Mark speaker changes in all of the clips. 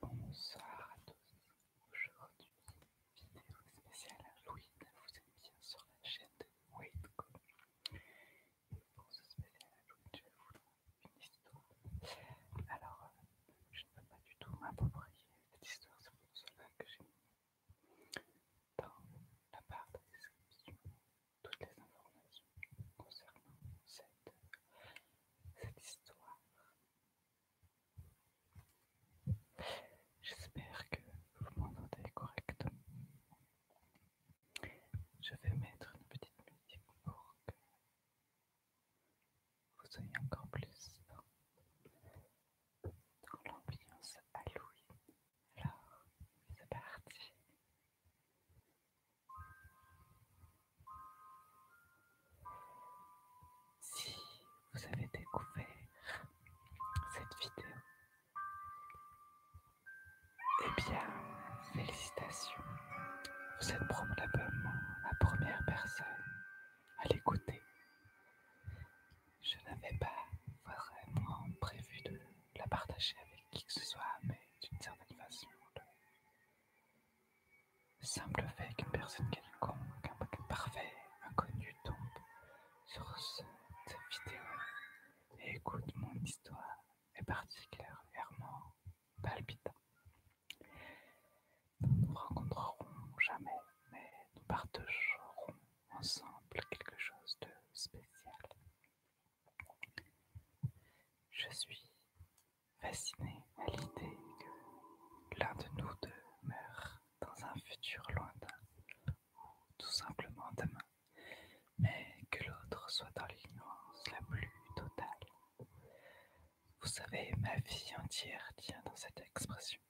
Speaker 1: Bonsoir à tous, aujourd'hui vidéo spéciale Halloween, vous êtes bien sur la chaîne de Waitco et pour ce spécial Halloween je vais vous donner une histoire. Alors euh, je ne peux pas du tout m'approprier cette histoire, c'est pour cela que j'ai mis dans la barre de description toutes les informations concernant cette cette histoire. J'espère que vous m'entendez correctement. Je vais mettre une petite musique pour que vous soyez encore plus dans l'ambiance Halloween. Alors, c'est parti. Si vous avez découvert cette vidéo, eh bien, félicitations. Vous êtes probablement la première personne à l'écouter. Je n'avais pas vraiment prévu de la partager avec qui que ce soit, mais d'une certaine façon, Simple fait qu'une personne quelconque, un parfait, inconnu, tombe sur cette vidéo et écoute mon histoire est particulièrement palpitant. Nous ne nous rencontrerons jamais, mais nous partagerons ensemble quelque chose de spécial. Je suis fasciné à l'idée que l'un de nous deux meurt dans un futur lointain, ou tout simplement demain, mais que l'autre soit dans l'ignorance la plus totale. Vous savez, ma vie entière tient dans cette expression.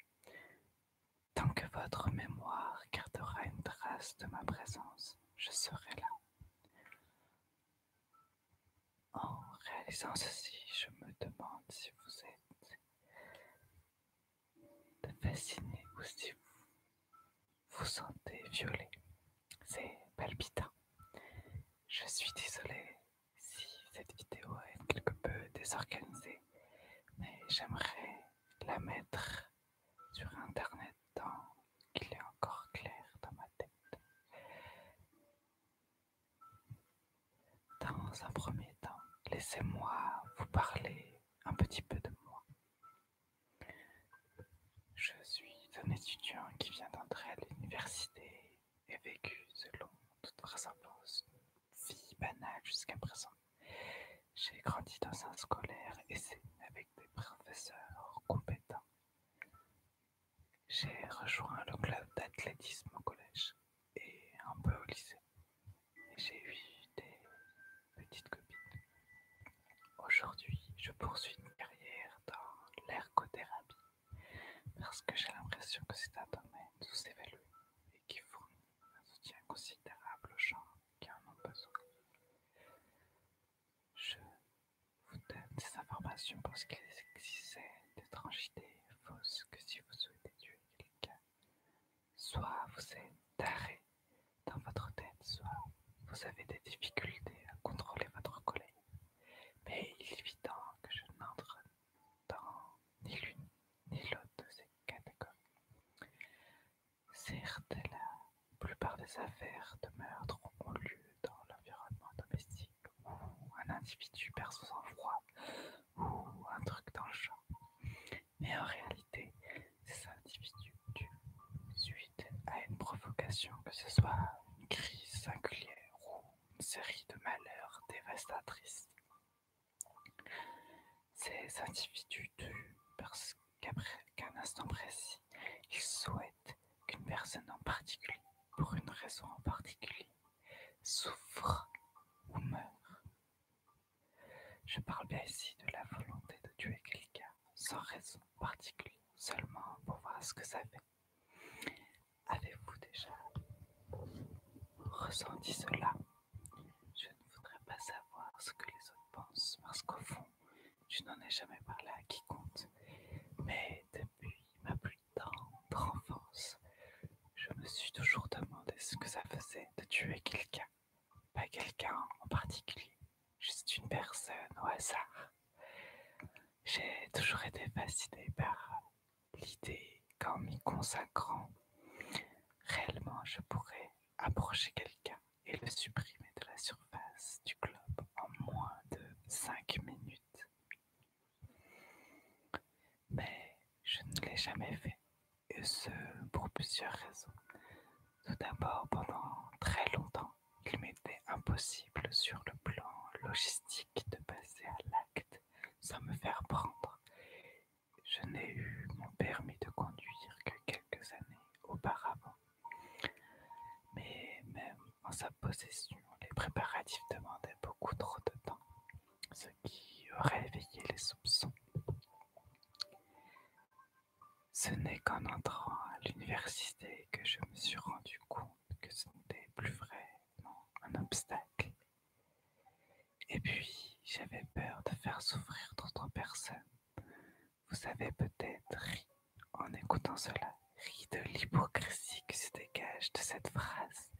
Speaker 1: Tant que votre mémoire gardera une trace de ma présence, je serai là. En réalisant ceci, je me demande si vous êtes fasciné ou si vous vous sentez violé. C'est palpitant. Je suis désolée si cette vidéo est quelque peu désorganisée, mais j'aimerais la mettre sur Internet tant qu'il est encore clair dans ma tête. Dans un premier temps, laissez-moi vous parler un petit peu de moi. Je suis un étudiant qui vient d'entrer à l'université et vécu selon toute vraisemblance une vie banale jusqu'à présent. J'ai grandi dans un scolaire et c'est avec des professeurs compétents. J'ai rejoint le club d'athlétisme au collège et un peu au lycée. Et j'ai eu des petites copines. Aujourd'hui, je poursuis une carrière dans l'ergothérapie parce que j'ai l'impression que c'est un domaine sous-évalué et qui fournit un soutien considérable aux gens qui en ont besoin. Je vous donne ces informations parce qu'il existait d'étranges idées fausses que si vous souhaitez tuer quelqu'un, soit vous êtes taré dans votre tête, soit vous avez des difficultés à contrôler votre colère. Mais il est évident que je n'entre dans ni l'une ni l'autre de ces catégories. Certes, la plupart des affaires de meurtre ont lieu dans l'environnement domestique où un individu perd son sang-froid ou un truc dans Mais en réalité, ces individus tuent suite à une provocation, que ce soit une crise singulière ou une série de malheurs dévastatrices. Ces individus tuent parce qu'après qu'un instant précis, ils souhaitent qu'une personne en particulier, pour une raison en particulier, souffre ou meurt. Je parle bien ici de la volonté de tuer quelqu'un sans raison particulière, seulement pour voir ce que ça fait. Avez-vous déjà ressenti cela Je ne voudrais pas savoir ce que les autres pensent, parce qu'au fond, je n'en ai jamais parlé à quiconque, mais depuis ma plus tendre enfance, je me suis toujours demandé ce que ça faisait de tuer quelqu'un. Pas quelqu'un en particulier, juste une personne au hasard. J'ai toujours été fascinée par l'idée qu'en m'y consacrant, réellement je pourrais approcher quelqu'un et le supprimer de la surface du globe en moins de 5 minutes. Mais je ne l'ai jamais fait, et ce pour plusieurs raisons. Tout d'abord, pendant très longtemps, il m'était impossible sur le plan logistique de passer à l'acte sans me faire prendre. Je n'ai eu mon permis de conduire que quelques années auparavant. Mais même en sa possession, les préparatifs demandaient beaucoup trop de temps, ce qui aurait éveillé les soupçons. Ce n'est qu'en entrant à l'université que je me suis rendu compte que ce n'était plus vraiment un obstacle. Et puis, j'avais peur de faire souffrir d'autres personnes vous avez peut-être ri en écoutant cela, ri de l'hypocrisie qui se dégage de cette phrase.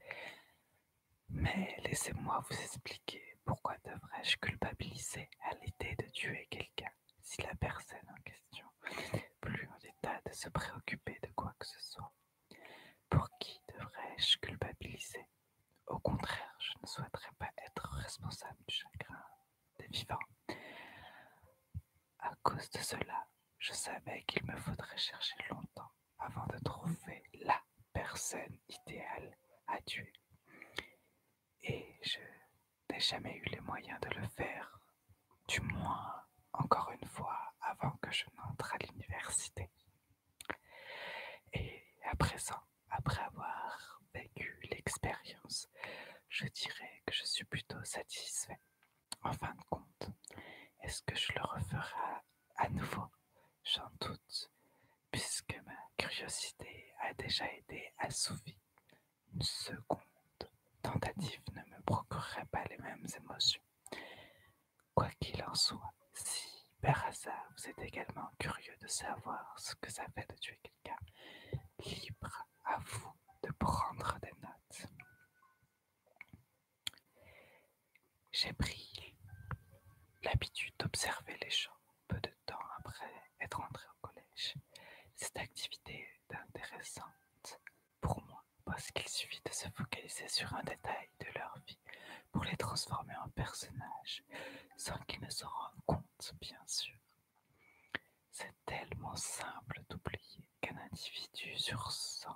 Speaker 1: Mais laissez-moi vous expliquer pourquoi devrais-je culpabiliser à l'idée de tuer quelqu'un si la personne en question n'est plus en état de se préoccuper de quoi que ce soit. Pour qui devrais-je culpabiliser Au contraire, je ne souhaiterais pas être responsable du chagrin des vivants. À cause de cela, je savais qu'il me faudrait chercher longtemps avant de trouver la personne idéale à tuer. Et je n'ai jamais eu les moyens de le faire, du moins encore une fois avant que je n'entre à l'université. Et à présent, après avoir vécu l'expérience, je dirais que je suis plutôt satisfait. En fin de compte, est-ce que je le referai à nouveau J'en doute, puisque ma curiosité a déjà été assouvie. Une seconde tentative ne me procurerait pas les mêmes émotions. Quoi qu'il en soit, si par hasard vous êtes également curieux de savoir ce que ça fait de tuer libre à vous de prendre des notes. J'ai pris l'habitude d'observer les gens peu de temps après être entré au collège. Cette activité est intéressante pour moi parce qu'il suffit de se focaliser sur un détail de leur vie pour les transformer en personnages sans qu'ils ne se rendent compte, bien sûr. C'est tellement simple d'oublier qu'un individu sur 100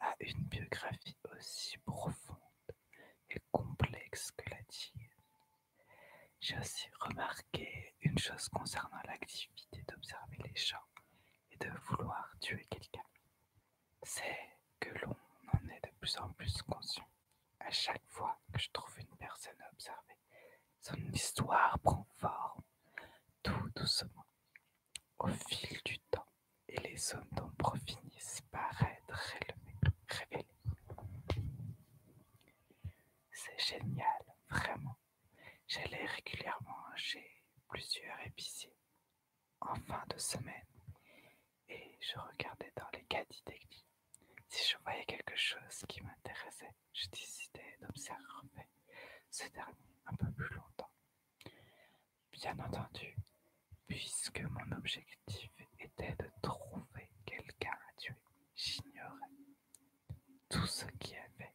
Speaker 1: a une biographie aussi profonde et complexe que la tienne. J'ai aussi remarqué une chose concernant l'activité d'observer les gens et de vouloir tuer quelqu'un. C'est que l'on en est de plus en plus conscient à chaque fois que je trouve une personne à observer. Son histoire prend forme tout doucement au fil du temps et les zones d'ombre finissent par être révélées. C'est génial, vraiment. J'allais régulièrement chez plusieurs épiciers en fin de semaine et je regardais dans les caddies d'église si je voyais quelque chose qui m'intéressait j'ai décidé d'observer ce dernier un peu plus longtemps. Bien entendu, puisque mon objectif était de trouver quelqu'un à tuer, j'ignorais tout ce qu'il y avait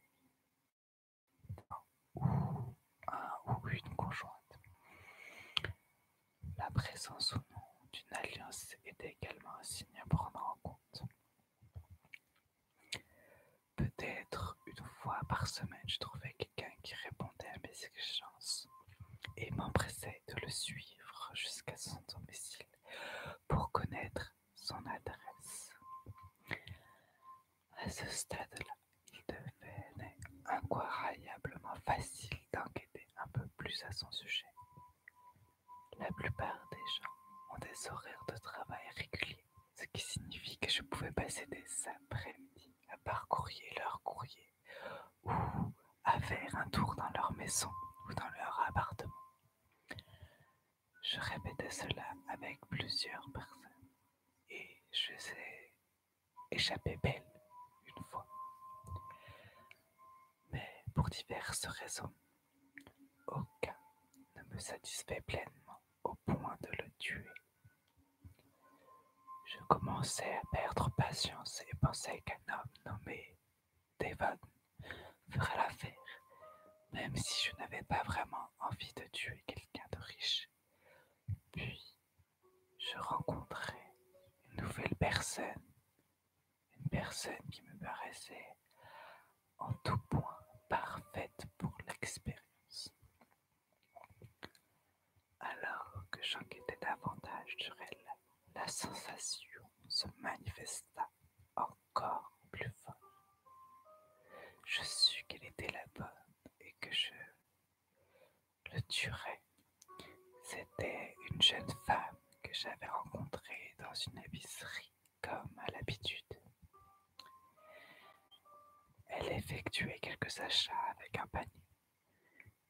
Speaker 1: ou un ou une conjointe. La présence ou non d'une alliance était également un signe à prendre en compte. Peut-être une fois par semaine, je trouvais quelqu'un qui répondait à mes exigences et m'empressais de le suivre jusqu'à son domicile pour connaître son adresse. À ce stade-là, il devenait incroyablement facile d'enquêter un peu plus à son sujet. La plupart des gens ont des horaires de travail réguliers, ce qui signifie que je pouvais passer des après-midi à parcourir leur courrier ou à faire un tour dans leur maison ou dans leur appartement. Je répétais cela avec plusieurs personnes et je les ai belle une fois mais pour diverses raisons, aucun ne me satisfait pleinement au point de le tuer. Je commençais à perdre patience et pensais qu'un homme nommé Devon ferait l'affaire, même si je n'avais pas vraiment envie de tuer quelqu'un de riche. Puis, je rencontrais une nouvelle personne une personne qui me paraissait en tout point parfaite pour l'expérience. Alors que j'enquêtais davantage sur elle, la sensation se manifesta encore plus fort. Je sus qu'elle était la bonne et que je le tuerais. C'était une jeune femme que j'avais rencontrée dans une épicerie comme à l'habitude. Elle effectuait quelques achats avec un panier.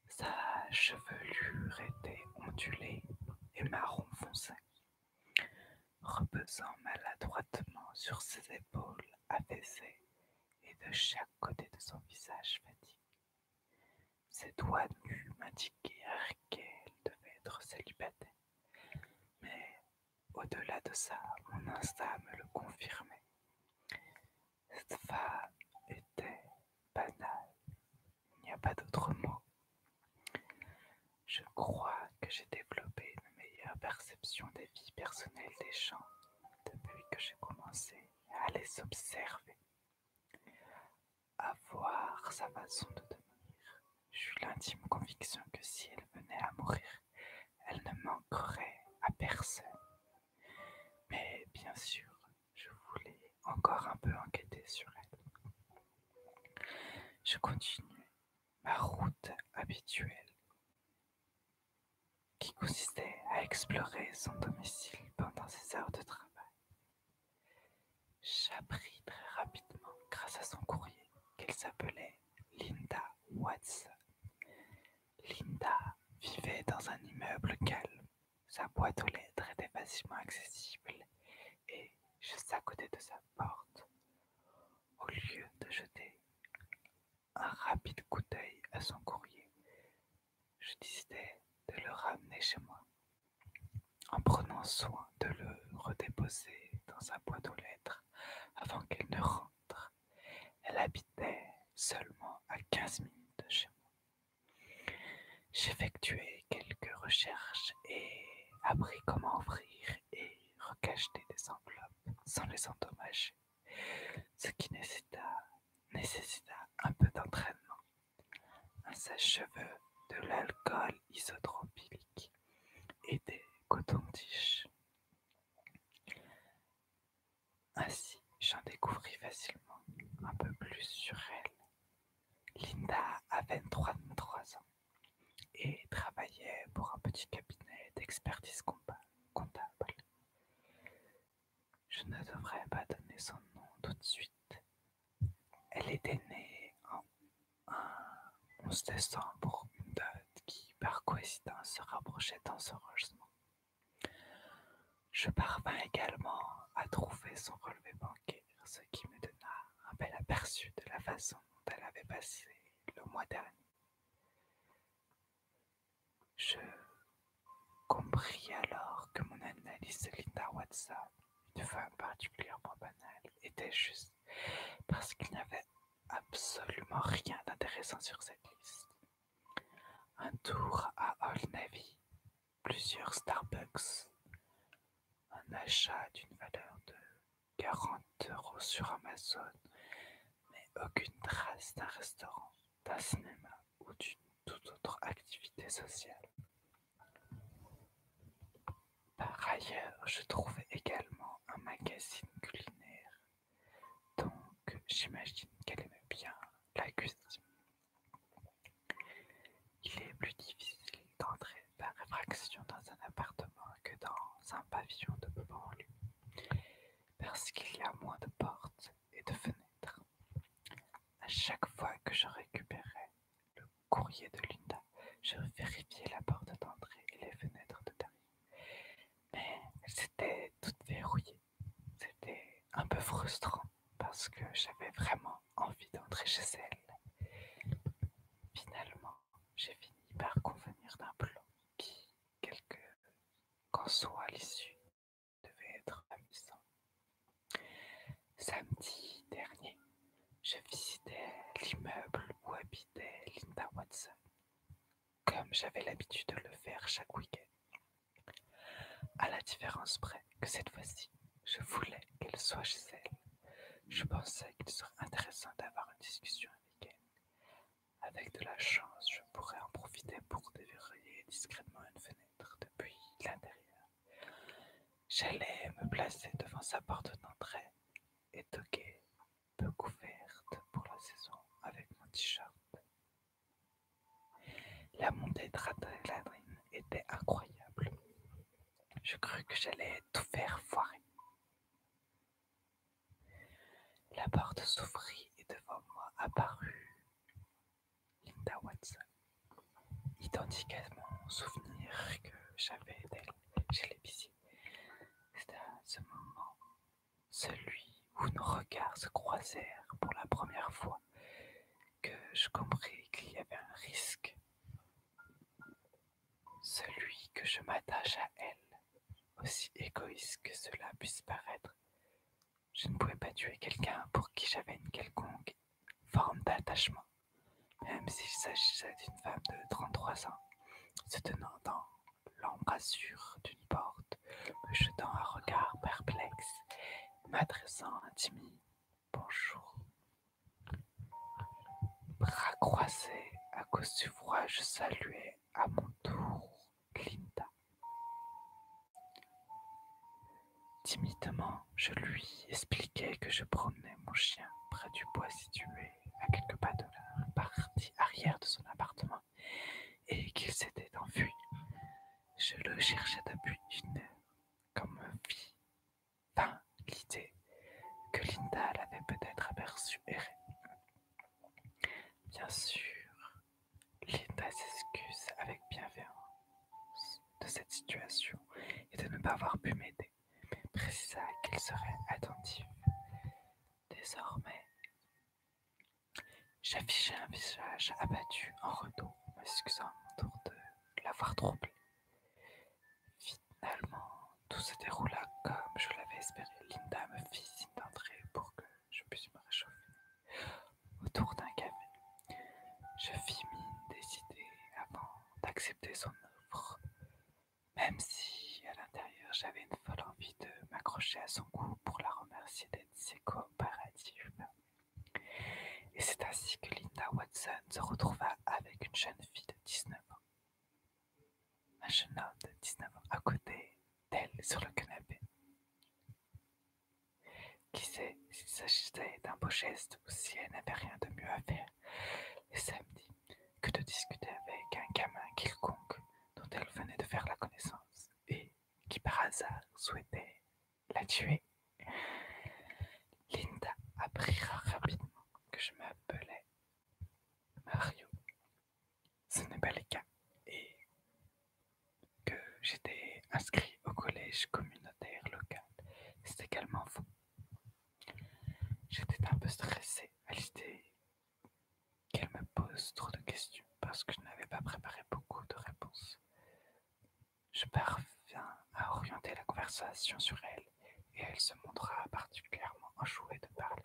Speaker 1: Sa chevelure était ondulée et marron foncé, reposant maladroitement sur ses épaules affaissées et de chaque côté de son visage fatigué. Ses doigts nus m'indiquèrent qu'elle devait être célibataire. Mais au-delà de ça, mon instinct me le confirmait. Cette femme était banale. Il n'y a pas d'autre mot. Je crois que j'ai développé une meilleure perception des vies personnelles des gens depuis que j'ai commencé à les observer. Avoir sa façon de devenir, j'eus l'intime conviction que si elle venait à mourir, elle ne manquerait à personne. Mais bien sûr, je voulais encore un peu enquêter sur elle. Je continue ma route habituelle, qui consistait à explorer son domicile pendant ses heures de travail. J'appris très rapidement, grâce à son courrier, qu'elle s'appelait Linda Watts. Linda vivait dans un immeuble calme. Sa boîte aux lettres était facilement accessible et juste à côté de sa porte. Au lieu de jeter un rapide coup d'œil à son courrier, je décidai de le ramener chez moi en prenant soin de le redéposer dans sa boîte aux lettres avant qu'elle ne rentre. Elle habitait seulement à 15 minutes de chez moi. J'effectuai quelques recherches et appris comment ouvrir et recacheter des enveloppes sans les endommager, ce qui nécessita un peu d'entraînement un sèche-cheveux, de l'alcool isotropique et des cotons-tiges. Ainsi, j'en découvris facilement un peu plus sur elle. Linda avait 23 ans et travaillait pour un petit cabinet d'expertise comptable. Je ne devrais pas donner son nom tout de suite, elle était née en 11 décembre, une date qui, par coïncidence, se rapprochait dans ce logement. Je parvins également à trouver son relevé bancaire, ce qui me donna un bel aperçu de la façon dont elle avait passé le mois dernier. Je compris alors que mon analyse Linda Watson une femme particulièrement banale, était juste parce qu'il n'y avait absolument rien d'intéressant sur cette liste. Un tour à Old Navy, plusieurs Starbucks, un achat d'une valeur de 40 euros sur Amazon, mais aucune trace d'un restaurant, d'un cinéma ou d'une toute autre activité sociale. Par ailleurs, je trouvais également un magazine culinaire, donc j'imagine qu'elle aimait bien la cuisine. Il est plus difficile d'entrer par réfraction dans un appartement que dans un pavillon de banlieue, parce qu'il y a moins de portes et de fenêtres. À chaque fois que je récupérais le courrier de Linda. Je vérifiais la porte d'entrée et les fenêtres de derrière, Mais c'était tout verrouillé. C'était un peu frustrant parce que j'avais vraiment envie d'entrer chez elle. Finalement, j'ai fini par convenir d'un plan qui, quelque qu'en soit l'issue, devait être amusant. Samedi dernier, je visitais l'immeuble où habitait Linda Watson, comme j'avais l'habitude de le faire chaque week-end. À la différence près que cette fois-ci, je voulais qu'elle soit chez elle. Je pensais qu'il serait intéressant d'avoir une discussion avec elle. Avec de la chance, je pourrais en profiter pour déverrouiller discrètement une fenêtre depuis l'intérieur. J'allais me placer devant sa porte d'entrée, et toquer, peu couverte pour la saison avec mon t-shirt. La montée de l'adrénaline était incroyable. Je crus que j'allais tout faire foirer. La porte s'ouvrit et devant moi apparut Linda Watson. Identique à mon souvenir que j'avais d'elle chez l'épicier. C'était à ce moment celui où nos regards se croisèrent pour la première fois que je compris qu'il y avait un risque. Celui que je m'attache à elle, aussi égoïste que cela puisse paraître, je ne pouvais pas tuer quelqu'un pour qui j'avais une quelconque forme d'attachement, même s'il s'agissait d'une femme de 33 ans, se tenant dans l'embrasure d'une porte, me jetant un regard perplexe, m'adressant un bonjour. Bras croisés à cause du froid, je saluais à mon tour Linda. Timidement, je lui expliquais que je promenais mon chien près du bois situé à quelques pas de la partie arrière de son appartement et qu'il s'était enfui. Je le cherchais depuis une heure, comme me dans l'idée que Linda l'avait peut-être aperçu errer. Bien sûr, Linda s'excuse avec bienveillance de cette situation et de ne pas avoir pu m'aider, mais précisa qu'il serait attentif. Désormais, j'affichais un visage abattu en retour, m'excusant ça de l'avoir troublé. Finalement, tout se déroula comme je l'avais espéré. Linda me fit signe pour que je puisse me réchauffer autour d'un café. Je fis mine idées avant d'accepter son offre, même si à l'intérieur j'avais une folle envie de m'accrocher à son cou pour la remercier d'être si coopérative. Et c'est ainsi que Linda Watson se retrouva avec une jeune fille de 19 ans. Un jeune homme de 19 ans à côté d'elle sur le canapé. Qui sait s'il s'agissait d'un beau geste ou si elle n'avait rien de mieux à faire les samedi que de discuter avec un gamin quelconque dont elle venait de faire la connaissance et qui par hasard souhaitait la tuer. Linda apprira rapidement que je m'appelais Mario. Ce n'est pas le cas et que j'étais inscrit au collège communautaire local. C'est également faux. J'étais un peu stressée à l'idée qu'elle me pose trop de questions parce que je n'avais pas préparé beaucoup de réponses. Je parviens à orienter la conversation sur elle et elle se montra particulièrement enjouée de parler.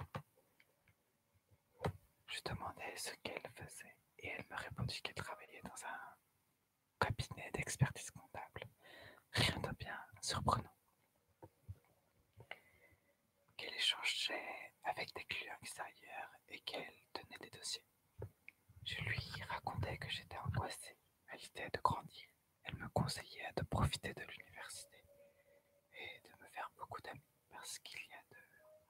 Speaker 1: Je demandais ce qu'elle faisait et elle me répondit qu'elle travaillait dans un Cabinet d'expertise comptable. Rien de bien surprenant. Qu'elle échangeait avec des clients extérieurs et qu'elle tenait des dossiers. Je lui racontais que j'étais angoissée à l'idée de grandir. Elle me conseillait de profiter de l'université et de me faire beaucoup d'amis parce qu'il y a de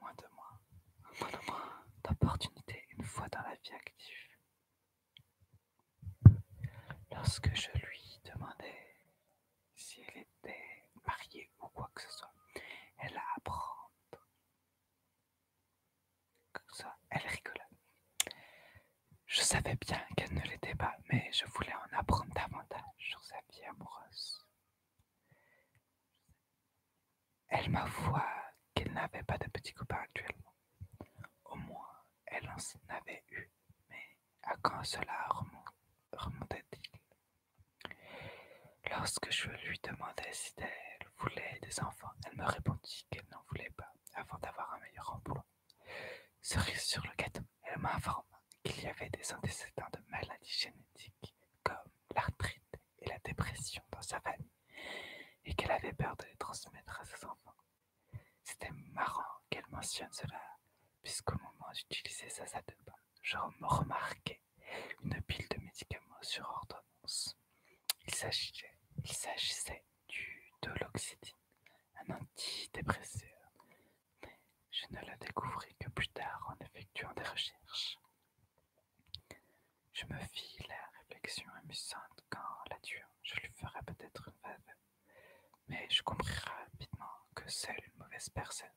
Speaker 1: moins de moi, moins d'opportunités une fois dans la vie active. Lorsque je lui demandais si elle était mariée ou quoi que ce soit, elle a apprendre. Comme ça, elle rigola. Je savais bien qu'elle ne l'était pas, mais je voulais en apprendre davantage sur sa vie amoureuse. Elle m'avoua qu'elle n'avait pas de petit copain actuellement. Au moins, elle en avait eu, mais à quand cela remontait-il Lorsque je lui demandais si elle voulait des enfants, elle me répondit qu'elle n'en voulait pas avant d'avoir un meilleur emploi. Cerise sur le gâteau, elle m'informa qu'il y avait des antécédents de maladies génétiques comme l'arthrite et la dépression dans sa famille et qu'elle avait peur de les transmettre à ses enfants. C'était marrant qu'elle mentionne cela, puisqu'au moment d'utiliser sa ça de bain, je remarquais une pile de médicaments sur ordonnance. Il s'agissait, il s'agissait du doloxydine, un antidépresseur. Je ne la découvris que plus tard en effectuant des recherches. Je me fis la réflexion amusante quand la tuant, je lui ferais peut-être une veuve. Mais je compris rapidement que seule une mauvaise personne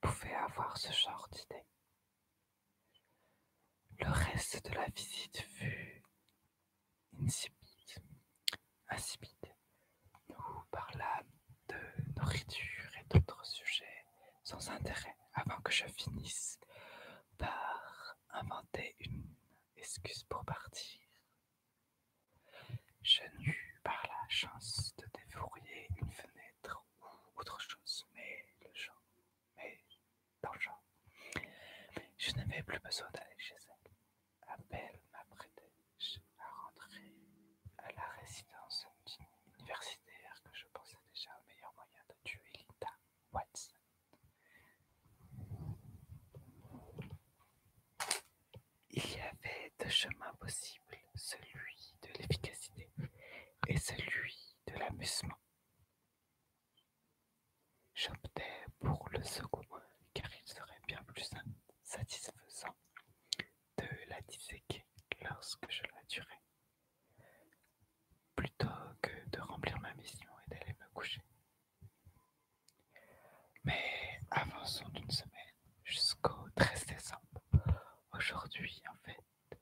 Speaker 1: pouvait avoir ce genre d'idée. Le reste de la visite fut insipide. insipide. Nous parlâmes de nourriture et d'autres sujets sans intérêt avant que je finisse par inventer une excuse pour partir. Je n'eus par la chance de dévorer une fenêtre ou autre chose, mais le genre, mais dans le Je n'avais plus besoin d'aller chez elle. Abel m'apprêtait à rentrer à la résidence universitaire que je pensais déjà un meilleur moyen il y avait deux chemins possibles, celui de l'efficacité et celui de l'amusement. J'optais pour le second car il serait bien plus satisfaisant de la disséquer lorsque je la tuerais plutôt que de remplir ma mission et d'aller me coucher. Mais avançons d'une semaine jusqu'au 13 décembre. Aujourd'hui, en fait,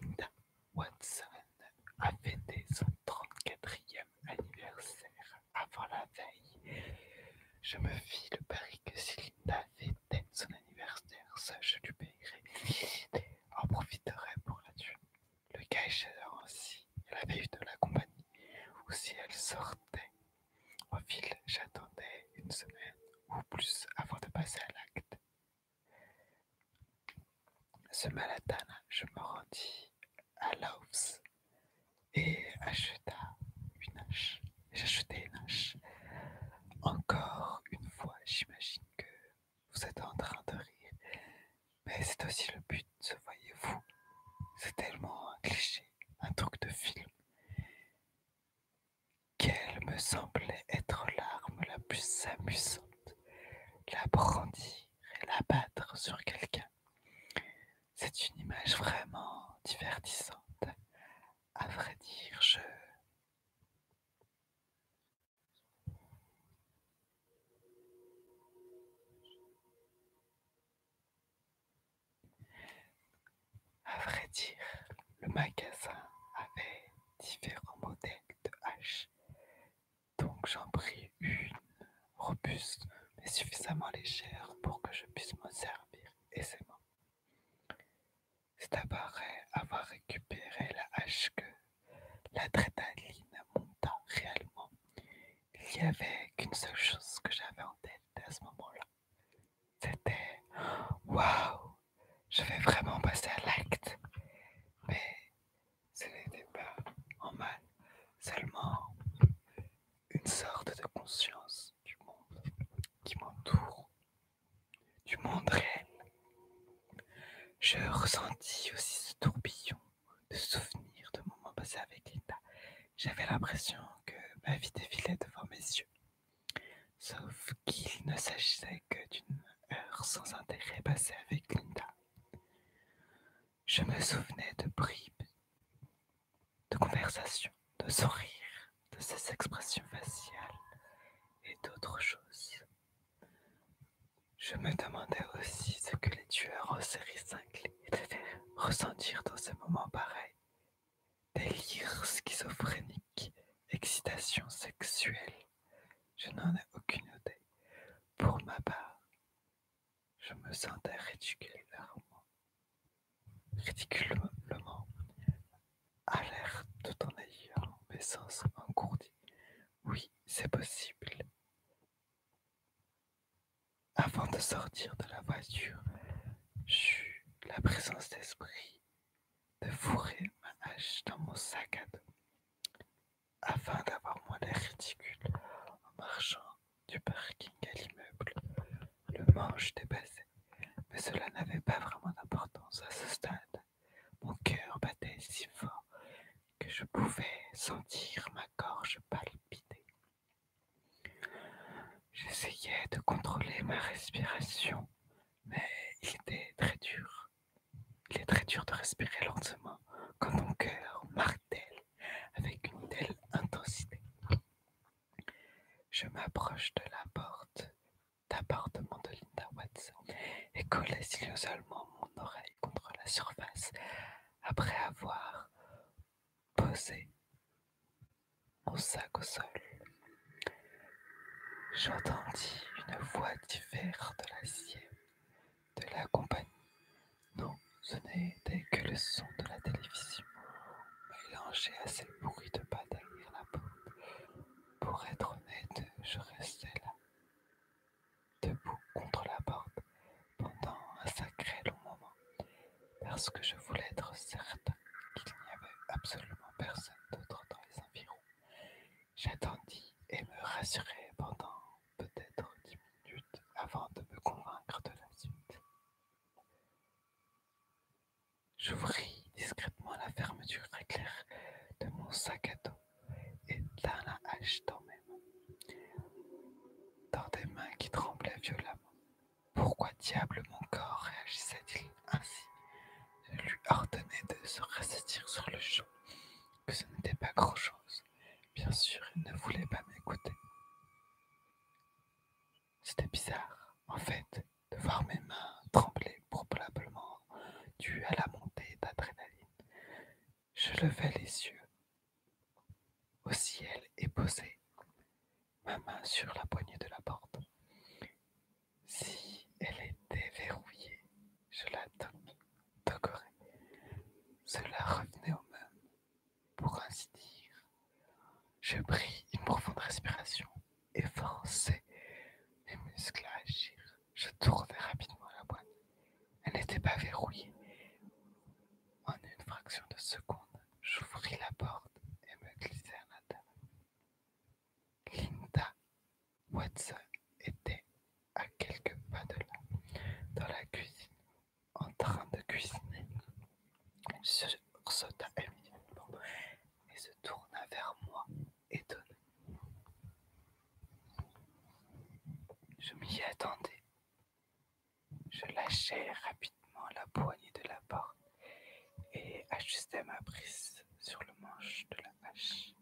Speaker 1: Linda Watson a fêté son 34e anniversaire avant la veille. Je me fis le pari que si Linda fêtait son anniversaire, je lui En profiterait pour la tuer. Le cas échéant, si elle avait eu de la compagnie, ou si elle sortait en ville, j'attendais une semaine ou plus avant de passer à l'acte. Ce matin, je me rendis à l'office et acheta une hache une hache. Encore une fois, j'imagine que vous êtes en train de rire. Mais c'est aussi le but, voyez-vous. C'est tellement un cliché, un truc de film, qu'elle me semblait être l'arme la plus amusante. La brandir et la battre sur quelqu'un. C'est une image vraiment divertissante. À vrai dire, je à vrai dire, le magasin avait différents modèles de hache, donc j'en pris une robuste mais suffisamment légère pour que je puisse me servir aisément. Stabaret avoir récupéré la hache que l'adrénaline monta réellement. Il n'y avait qu'une seule chose que j'avais en tête à ce moment-là. C'était Waouh Je vais vraiment passer à l'acte Mais ce n'était pas en mal, seulement une sorte de conscience du monde qui m'entoure du monde Je ressentis aussi ce tourbillon de souvenirs de moments passés avec Linda. J'avais l'impression que ma vie défilait devant mes yeux. Sauf qu'il ne s'agissait que d'une heure sans intérêt passée avec Linda. Je me souvenais de bribes de conversations de son rire, de ses expressions faciales et d'autres choses. Je me demandais aussi ce que les tueurs en série 5 devaient ressentir dans ces moments pareils. Délire schizophrénique, excitation sexuelle, je n'en ai aucune idée. Pour ma part, je me sentais ridicule vers ridiculement à l'air tout en ayant mes sens engourdis. Oui, c'est possible. Avant de sortir de la voiture, j'eus la présence d'esprit de fourrer ma hache dans mon sac à dos afin d'avoir moins d'air ridicule en marchant du parking à l'immeuble, le manche dépassé mais cela n'avait pas vraiment d'importance à ce stade. Mon cœur battait si fort que je pouvais sentir ma gorge palpiter. J'essayais de contrôler ma respiration, mais il était très dur. Il est très dur de respirer lentement quand ton cœur martèle avec une telle intensité. Je m'approche de la porte d'appartement de Linda Watson et colle silencieusement mon oreille contre la surface après avoir posé mon sac au sol. J'entendis une voix différente de la sienne, de la compagnie. Non, ce n'était que le son de la télévision, mélangé à pas la Pour être honnête, je restais là, debout contre la porte, pendant un sacré long moment, parce que je voulais être certain qu'il n'y avait absolument personne d'autre dans les environs. J'attendis et me rassurai pendant peut-être dix minutes avant de me convaincre de la suite. J'ouvris discrètement la fermeture éclair de mon sac à dos et tins la hache dans mes mains, dans des mains qui tremblaient violemment. Pourquoi diable mon corps réagissait-il ainsi Je lui ordonnais de se ressaisir sur le champ, que ce n'était pas grand-chose. Bien sûr, il ne voulait pas m'écouter. C'était bizarre, en fait de voir mes mains trembler probablement dû à la montée d'adrénaline. Je levai les yeux. Au ciel et posai ma main sur la poignée de la porte. Si elle était verrouillée, je la décorais. Cela revenait au même, pour ainsi dire. Je pris une profonde respiration et forçai mes muscles à agir. Je tournai rapidement la boîte. Elle n'était pas verrouillée. En une fraction de seconde, j'ouvris la porte et me glissai à l'intérieur. Linda Watson était à quelques pas de là, dans la cuisine, en train de cuisiner. Il sursauta immédiatement et se tourna vers moi, étonné. Je m'y attendais. Je lâchais rapidement la poignée de la porte et ajustais ma prise sur le manche de la hache.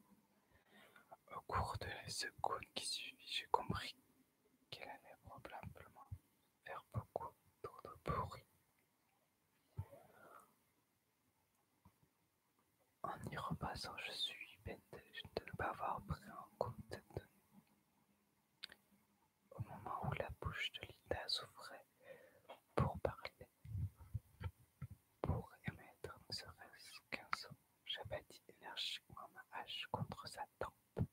Speaker 1: Au cours de la seconde qui suivit, j'ai compris qu'elle allait probablement faire beaucoup de bruit. En y repassant, je suis bête de ne pas avoir pris en compte cette donnée. Au moment où la bouche de Linda s'ouvrait pour parler, pour émettre ne serait-ce qu'un son, j'abattis énergiquement ma hache contre sa tempe.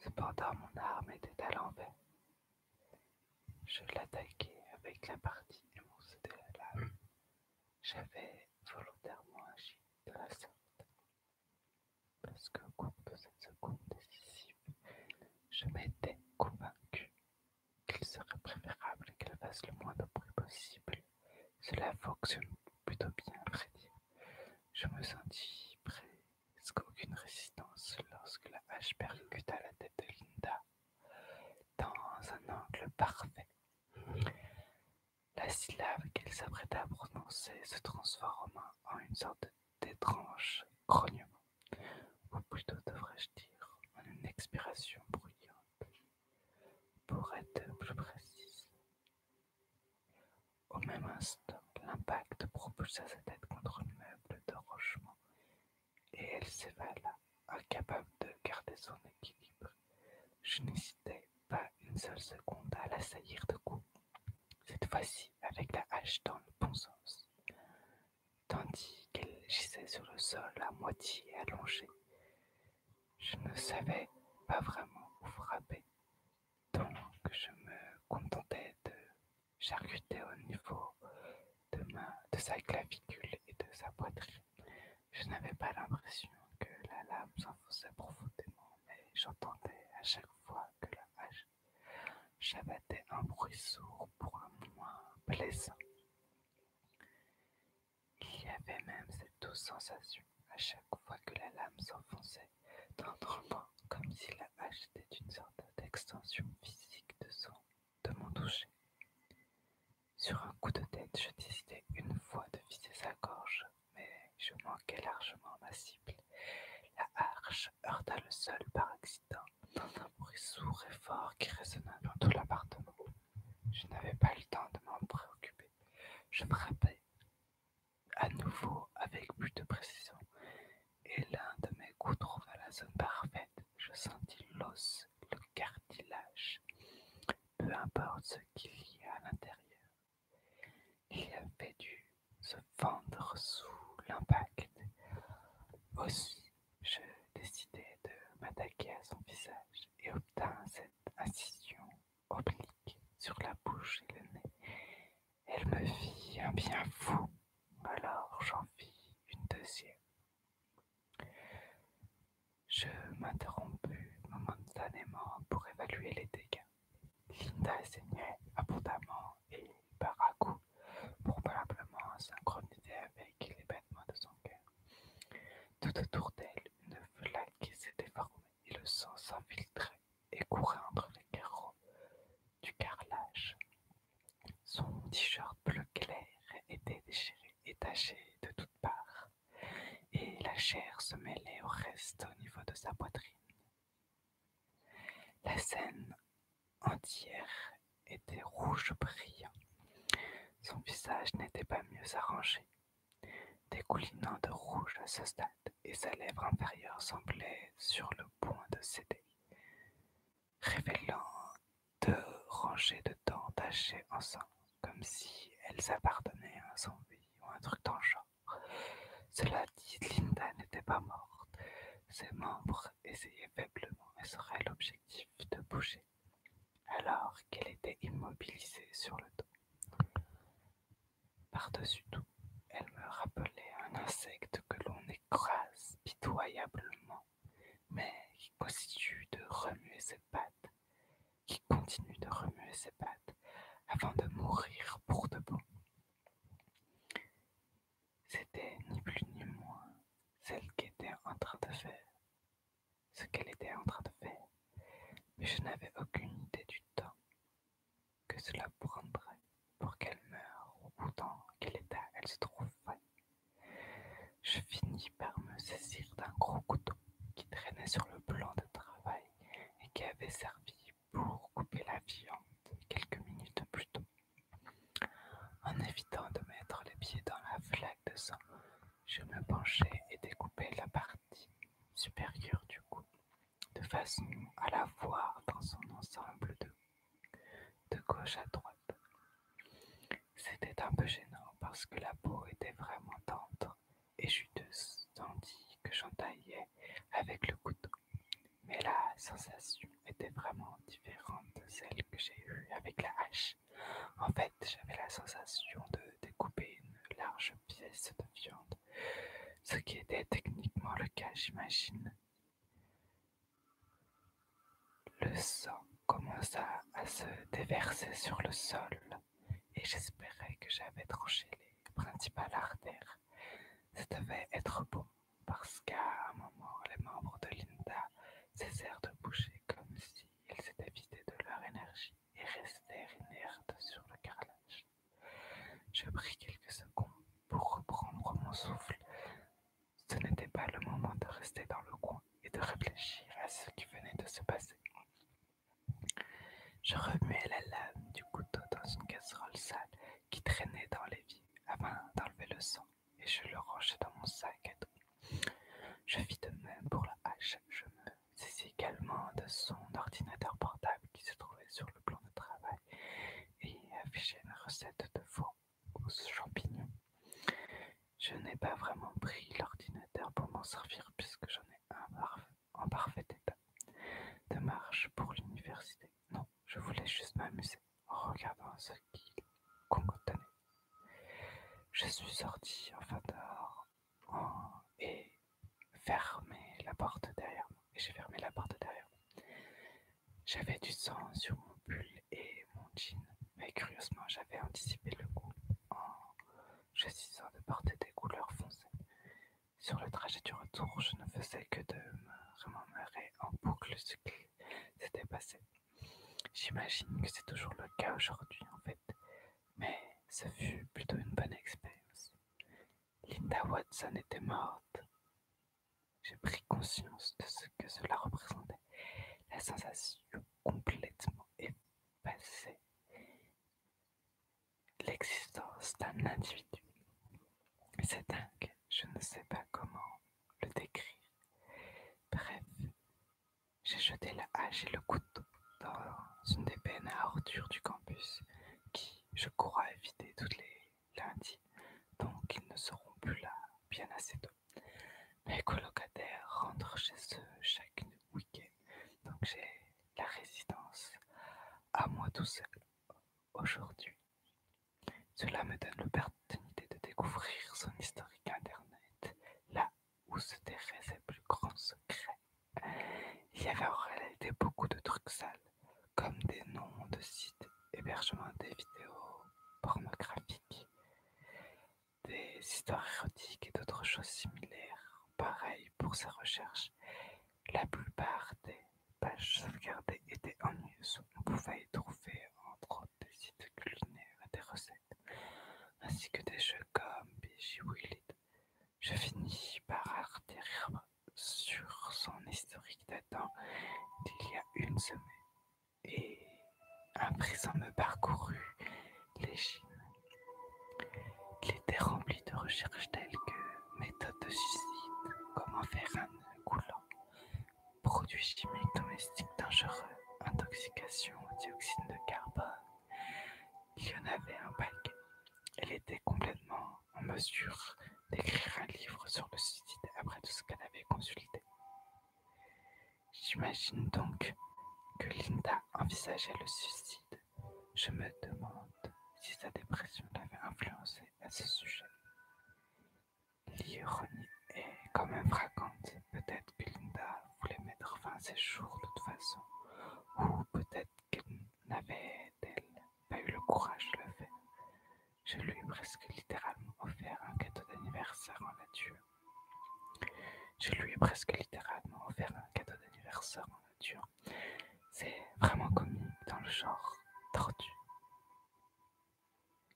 Speaker 1: Cependant mon arme était à l'envers. Je l'attaquai avec la partie émoussée de la lame. J'avais volontairement agi de la sorte. Parce qu'au cours de cette seconde décisive, je m'étais convaincu qu'il serait préférable qu'elle fasse le moins de bruit possible. Cela fonctionne plutôt bien, après. Je me sentis presque aucune résistance lorsque la hache percuta la tête de Linda dans un angle parfait. La syllabe qu'elle s'apprêtait à prononcer se transforma en une sorte d'étrange grognement, ou plutôt devrais-je dire en une expiration bruyante. Pour être plus précis. Au même instant, l'impact propulsa sa tête contre le meuble de rochement et elle s'évala, incapable de garder son équilibre. Je n'hésitai pas une seule seconde à l'assaillir de coups, cette fois-ci avec la hache dans le bon sens, tandis qu'elle gisait sur le sol à moitié allongée. Je ne savais pas vraiment où frapper, donc je me contentais de charcuter au niveau de, de sa clavicule et de sa poitrine. Je n'avais pas l'impression que la lame s'enfonçait profondément, mais j'entendais à chaque fois que la hache j'abattais un bruit sourd pour un moins plaisant. Il y avait même cette douce sensation à chaque fois que la lame s'enfonçait tendrement, comme si la hache était une sorte d'extension physique de, son, de mon toucher. Sur un coup de tête, je décidai une fois de viser sa gorge, mais je manquais largement ma cible. La hache heurta le sol par accident, dans un bruit sourd et fort qui résonna dans tout l'appartement. Je n'avais pas le temps de m'en préoccuper. Je me frappais à nouveau avec plus de précision, et l'un de mes coups trouva la zone parfaite. Je sentis l'os, le cartilage, peu importe ce qu'il y a à l'intérieur. Il avait dû se fendre sous l'impact. Aussi, je décidai de m'attaquer à son visage et obtins cette incision oblique sur la bouche et le nez elle me fit un bien fou, alors j'en fis une deuxième. Je m'interrompus momentanément pour évaluer les dégâts. Linda saignait abondamment et par à coup, probablement synchronisé avec les battements de son cœur. Tout autour d'elle, une flaque s'était formée et le sang s'infiltrait et courait entre les carreaux du carrelage. Son t-shirt bleu clair était déchiré et taché de toutes parts, et la chair se mêlait au reste au niveau de sa poitrine. La scène entière était rouge brillant. Son visage n'était pas mieux arrangé découlinant de rouge à ce stade, et sa lèvre inférieure semblait sur le point de céder, révélant deux rangées de dents tachées ensemble, comme si elles appartenaient à un zombie ou un truc dans genre. Cela dit, Linda n'était pas morte. Ses membres essayaient faiblement et seraient l'objectif de bouger, alors qu'elle était immobilisée sur le dos. Par-dessus tout, elle me rappelait un insecte que l'on écrase pitoyablement, mais qui continue de remuer ses pattes, qui continue de remuer ses pattes avant de mourir pour de bon. C'était ni plus ni moins celle qui en train de faire ce qu'elle était en train de faire, mais je n'avais aucune idée du temps que cela prendrait pour qu'elle meure ou dans quel état elle se trouve. Je finis par me saisir d'un gros couteau qui traînait sur le plan de travail et qui avait servi pour couper la viande quelques minutes plus tôt. En évitant de mettre les pieds dans la flaque de sang, je me penchais et découpai la partie supérieure du cou de façon à la voir dans son ensemble de, gauche à droite. C'était un peu gênant parce que la peau était vraiment tendre et juteuse, tandis que j'entaillais avec le couteau. Mais la sensation était vraiment différente de celle que j'ai eue avec la hache. En fait, j'avais la sensation de découper une large pièce de viande ce qui était techniquement le cas, j'imagine. Le sang commença à se déverser sur le sol et j'espérais que j'avais tranché les principales artères. Ça devait être bon parce qu'à un moment, les membres de Linda cessèrent de bouger comme s'ils s'étaient vidés de leur énergie et restèrent inertes sur le carrelage. Je pris quelques secondes pour reprendre mon souffle. Ce n'était pas le moment de rester dans le coin et de réfléchir à ce qui venait de se passer. Je remuai la lame du couteau dans une casserole sale qui traînait dans les vies afin d'enlever le sang et je le rangeai dans mon sac à dos. Je vis de même pour la hache. Je me c'est également de son ordinateur portable qui se trouvait sur le plan de travail et affichait une recette de fond aux champignons. Je n'ai pas vraiment pris l'ordinateur pour m'en servir puisque j'en ai un en parfait état de marche pour l'université. Non, je voulais juste m'amuser en regardant ce qu'il contenait. Je suis sorti enfin d'heure. Oh, et fermer la porte derrière moi. j'ai fermé la porte derrière moi. J'avais du sang sur mon pull et mon jean, mais curieusement, j'avais anticipé le coup oh, en choisissant de porter des couleurs foncées. Sur le trajet du retour, je ne faisais que de me remémorer en boucle ce qui s'était passé. J'imagine que c'est toujours le cas aujourd'hui en fait, mais ce fut plutôt une bonne expérience. Linda Watson était morte. J'ai pris conscience de ce que cela représentait. La sensation complètement effacée. L'existence d'un individu. C'est dingue, je ne sais pas comment le décrire. Bref, j'ai jeté la hache et le couteau dans une des peines à ordures du campus qui, je crois, éviter tous les lundis, donc ils ne seront plus là bien assez tôt. Mes colocataires rentrent chez eux chaque week-end, donc j'ai la résidence à moi tout seul aujourd'hui. Cela me donne l'opportunité de découvrir son historique internet, là où se terrait ses plus grands secrets. Il y avait en réalité beaucoup de trucs sales, comme des noms de sites hébergement des vidéos pornographiques, des histoires érotiques et d'autres choses similaires. Pareil pour ses recherches. La plupart des pages sauvegardées étaient en news. On pouvait y trouver entre autres des sites culinaires et des recettes, ainsi que des jeux comme Bijou It. Je finis par atterrir sur son historique datant d'il y a une semaine, et un présent me parcourut l'échine. Il était rempli de recherches telles que méthode de suicide, comment faire un coulant, produits chimiques domestiques dangereux, intoxication, dioxyde de carbone. Il y en avait un paquet. Elle était complètement en mesure d'écrire un livre sur le suicide après tout ce qu'elle avait consulté. J'imagine donc que Linda envisageait le suicide. Je me demande si sa dépression l'avait influencée à ce sujet. L'ironie est quand même frappante. Peut-être que Linda voulait mettre fin à ses jours de toute façon, ou peut-être qu'elle navait pas eu le courage de le faire Je lui ai presque littéralement offert un cadeau d'anniversaire en nature. Je lui ai presque littéralement offert un cadeau d'anniversaire en nature. C'est vraiment comique dans le genre tortue.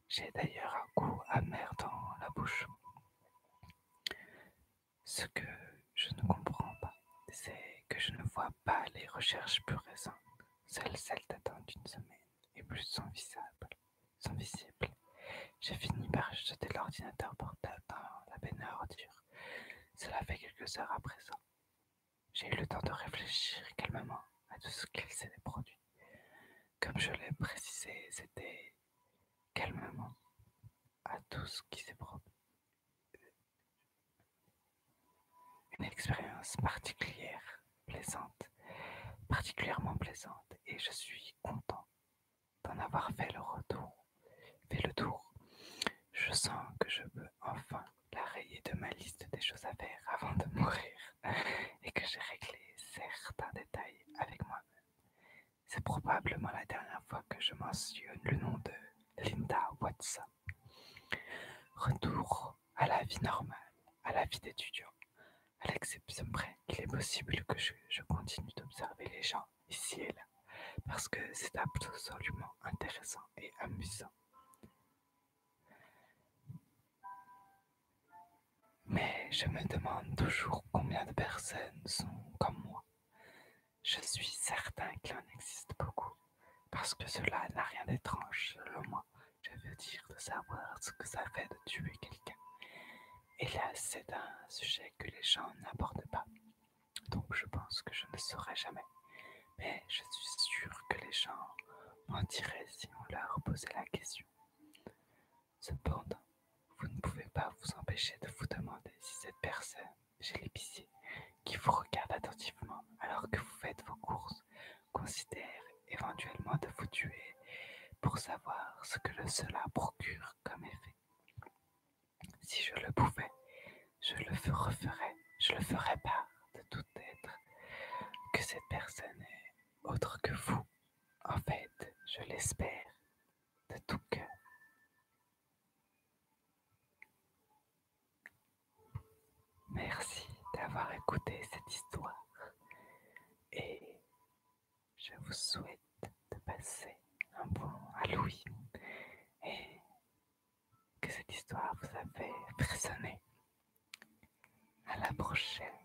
Speaker 1: J'ai d'ailleurs un goût amer dans la bouche. Ce que je ne comprends pas, c'est que je ne vois pas les recherches plus récentes, celles celles datant d'une semaine et plus sont visibles. J'ai fini par jeter l'ordinateur portable dans la benne à ordures. Cela fait quelques heures à présent. J'ai eu le temps de réfléchir calmement à tout ce qui s'est produit. Comme je l'ai précisé, c'était calmement à tout ce qui s'est produit une expérience particulière, plaisante, particulièrement plaisante, et je suis content d'en avoir fait le retour, fait le tour. Je sens que je peux enfin la rayer de ma liste des choses à faire avant de mourir, et que j'ai réglé certains détails avec moi-même. C'est probablement la dernière fois que je mentionne le nom de Linda Watson. Retour à la vie normale, à la vie d'étudiant. À l'exception près qu'il est possible que je, je continue d'observer les gens ici et là, parce que c'est absolument intéressant et amusant. Mais je me demande toujours combien de personnes sont comme moi, je suis certain qu'il en existe beaucoup, parce que cela n'a rien d'étrange, selon moi. Je veux dire de savoir ce que ça fait de tuer quelqu'un. Et là, c'est un sujet que les gens n'abordent pas. Donc je pense que je ne saurai jamais. Mais je suis sûr que les gens mentiraient si on leur posait la question. Cependant, vous ne pouvez pas vous empêcher de vous demander si cette personne j'ai l'épicier qui vous regarde attentivement alors que vous faites vos courses considère éventuellement de vous tuer pour savoir ce que le cela procure comme effet. Si je le pouvais, je le referais, je le ferais part de tout être que cette personne est autre que vous. En fait, je l'espère de tout cœur. Merci d'avoir écouté cette histoire et je vous souhaite de passer un bon Halloween et que cette histoire vous a fait frissonner. À la prochaine.